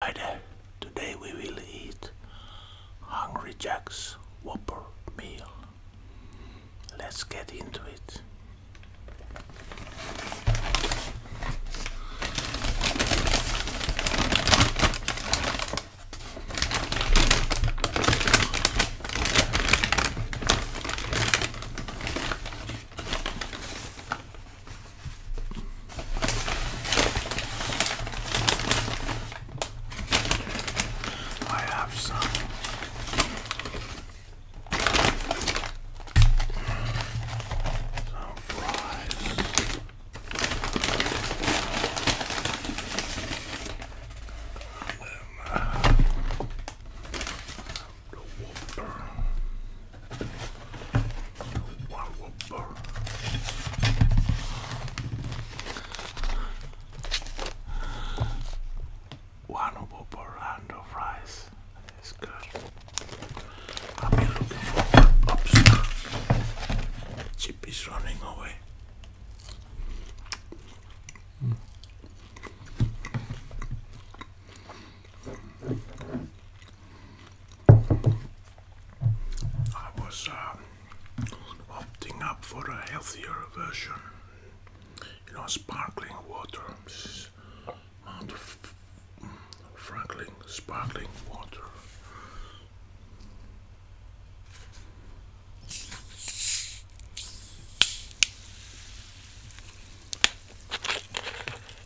Hi there, today we will eat Hungry Jack's Whopper meal. Let's get into it. I have some some fries. And then, um, one whopper and of rice is good. I've been looking for Oops. Chip is running away. I was uh, opting up for a healthier version. You know, sparkling water. Mount sparkling water.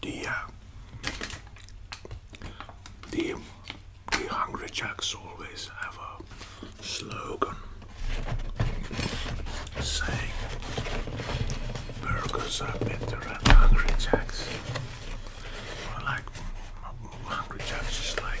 The uh, the the Hungry Jacks always have a slogan saying burgers are better at Hungry Jacks. Well, like Hungry Jacks is like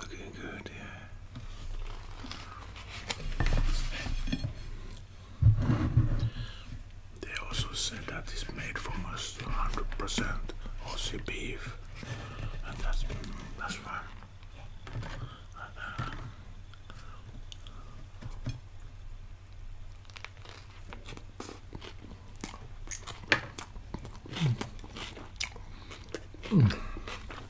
Looking good, yeah. They also said that it's made from almost 100% Aussie beef, and that's that's fine.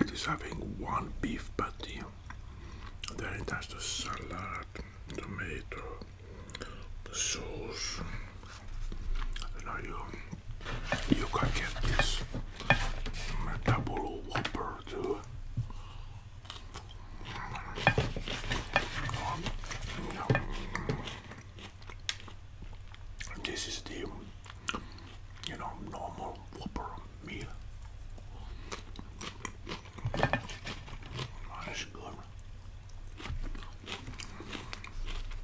It is having one beef patty, then it has the salad, tomato, sauce, and now you can get this double whopper too. Um, this is the you know normal whopper meal. That's good.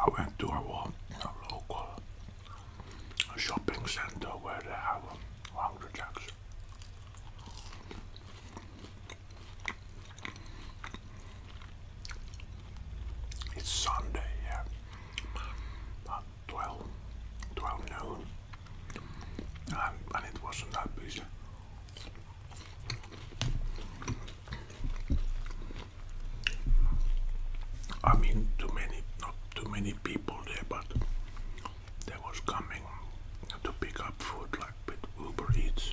I went to a, local shopping center where they have Hungry um, Jacks. It's Sunday, yeah. 12, noon, um, and it wasn't that busy. I mean, too many, not too many people there, but there was coming to pick up food like with Uber Eats.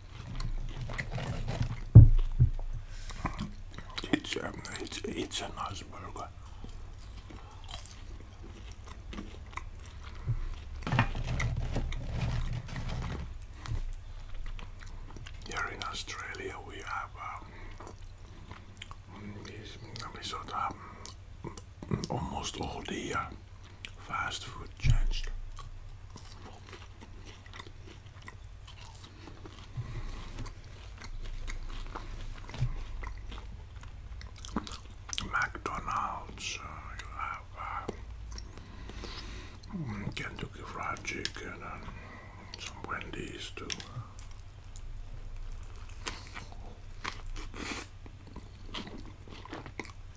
It's, um, it's, it's a nice burger. Here in Australia we have um, we sort of, almost all the uh, fast food changed. McDonald's, uh, you have um, Kentucky Fried Chicken some Wendy's too.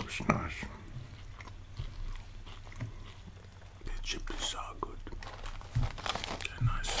It's nice. The chips are good. They're nice.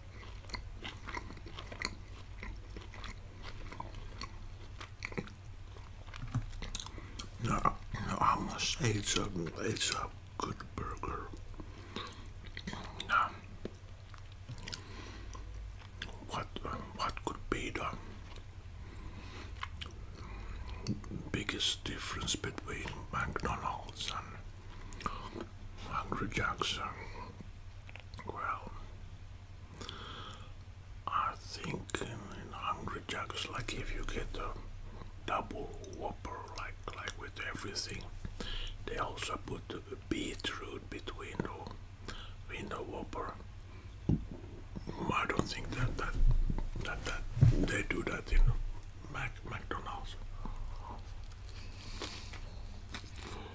No, I must say it's a, it's a good burger. No. What, um, what could be the biggest difference between McDonald's and Hungry Jack's? Well, I think in, Hungry Jack's, like if you get a double whopper, like like with everything, they also put a beetroot between the window whopper. I don't think that that that, that they do that in Mac McDonald's.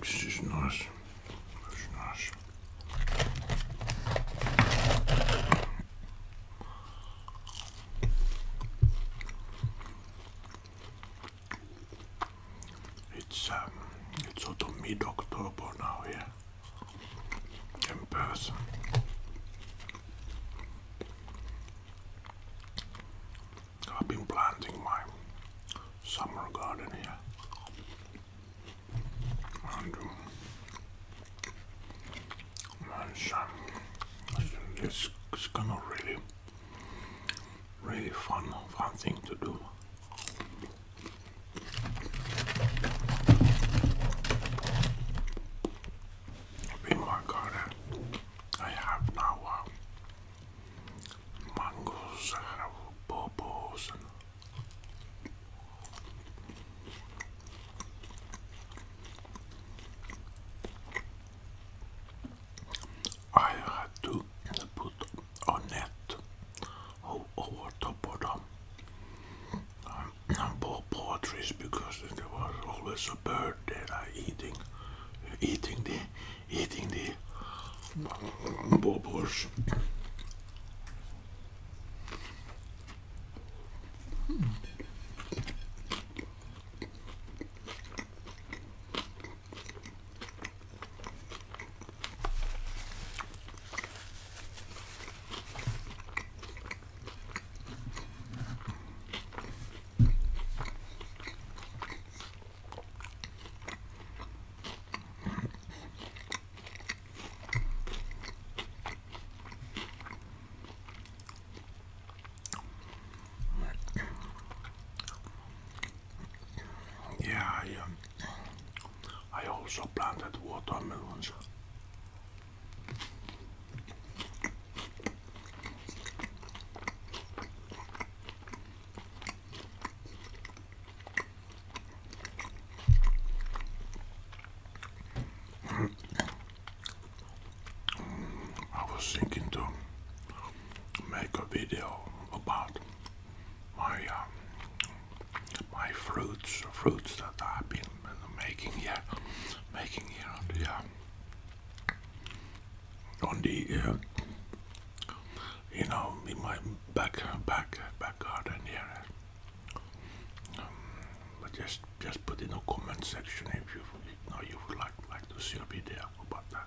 It's just nice. It's nice. It's um, it's sort of mid-October now yeah. in person. I've been planting my summer garden here. And, um, it's, it's kind of really, really fun, fun thing to do. In my garden, I have now uh, mangoes, uh, bobos, and I had to put a net over top of the um, bobo trees because there was always a bird there uh, eating, eating the eating the bubbles. Yeah, I, um, I also planted watermelons. I was thinking to make a video about my um, my fruits, fruits that I've been making here, making here, yeah, on the uh, you know in my back back back garden here um, but just just put in a comment section if you, you know you would like like to see a video about that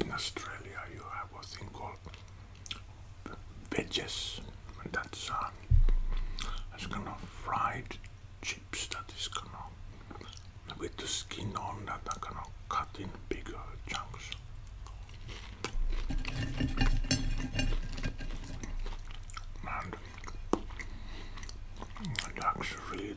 in Australia you have a thing called veggies. And that's uh, that's kind of fried chips that is kind of with the skin on that I'm gonna cut in bigger chunks. And it actually really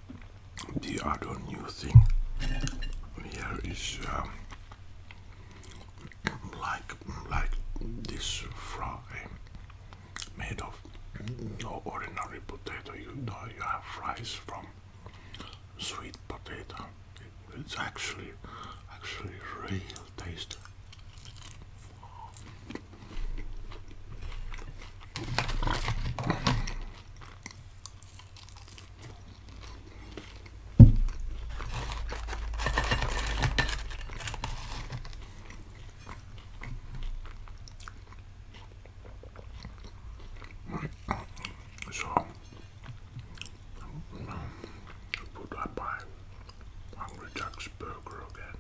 the other new thing here is um, like like this fry made of no ordinary potato. You know you have fries from sweet potato. it's actually actually real taste. So um, put that by Hungry Jack's burger again.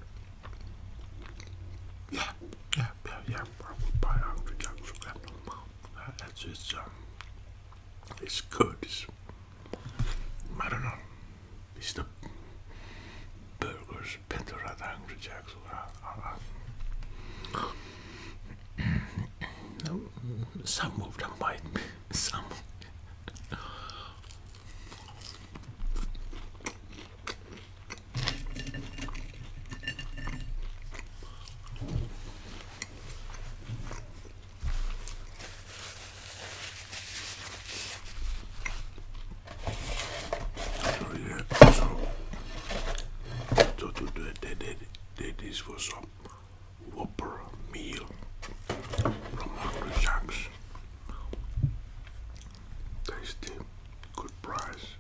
Yeah, yeah, yeah, yeah. It's, it's, um, it's good. I don't know. It's the burgers, Pentarada, Hungry Jacks. Uh, uh, no, some of them might be. Some. So yeah, so, so today they did, they, this was a whopper meal from Hungry Jacks. Tasty, good price.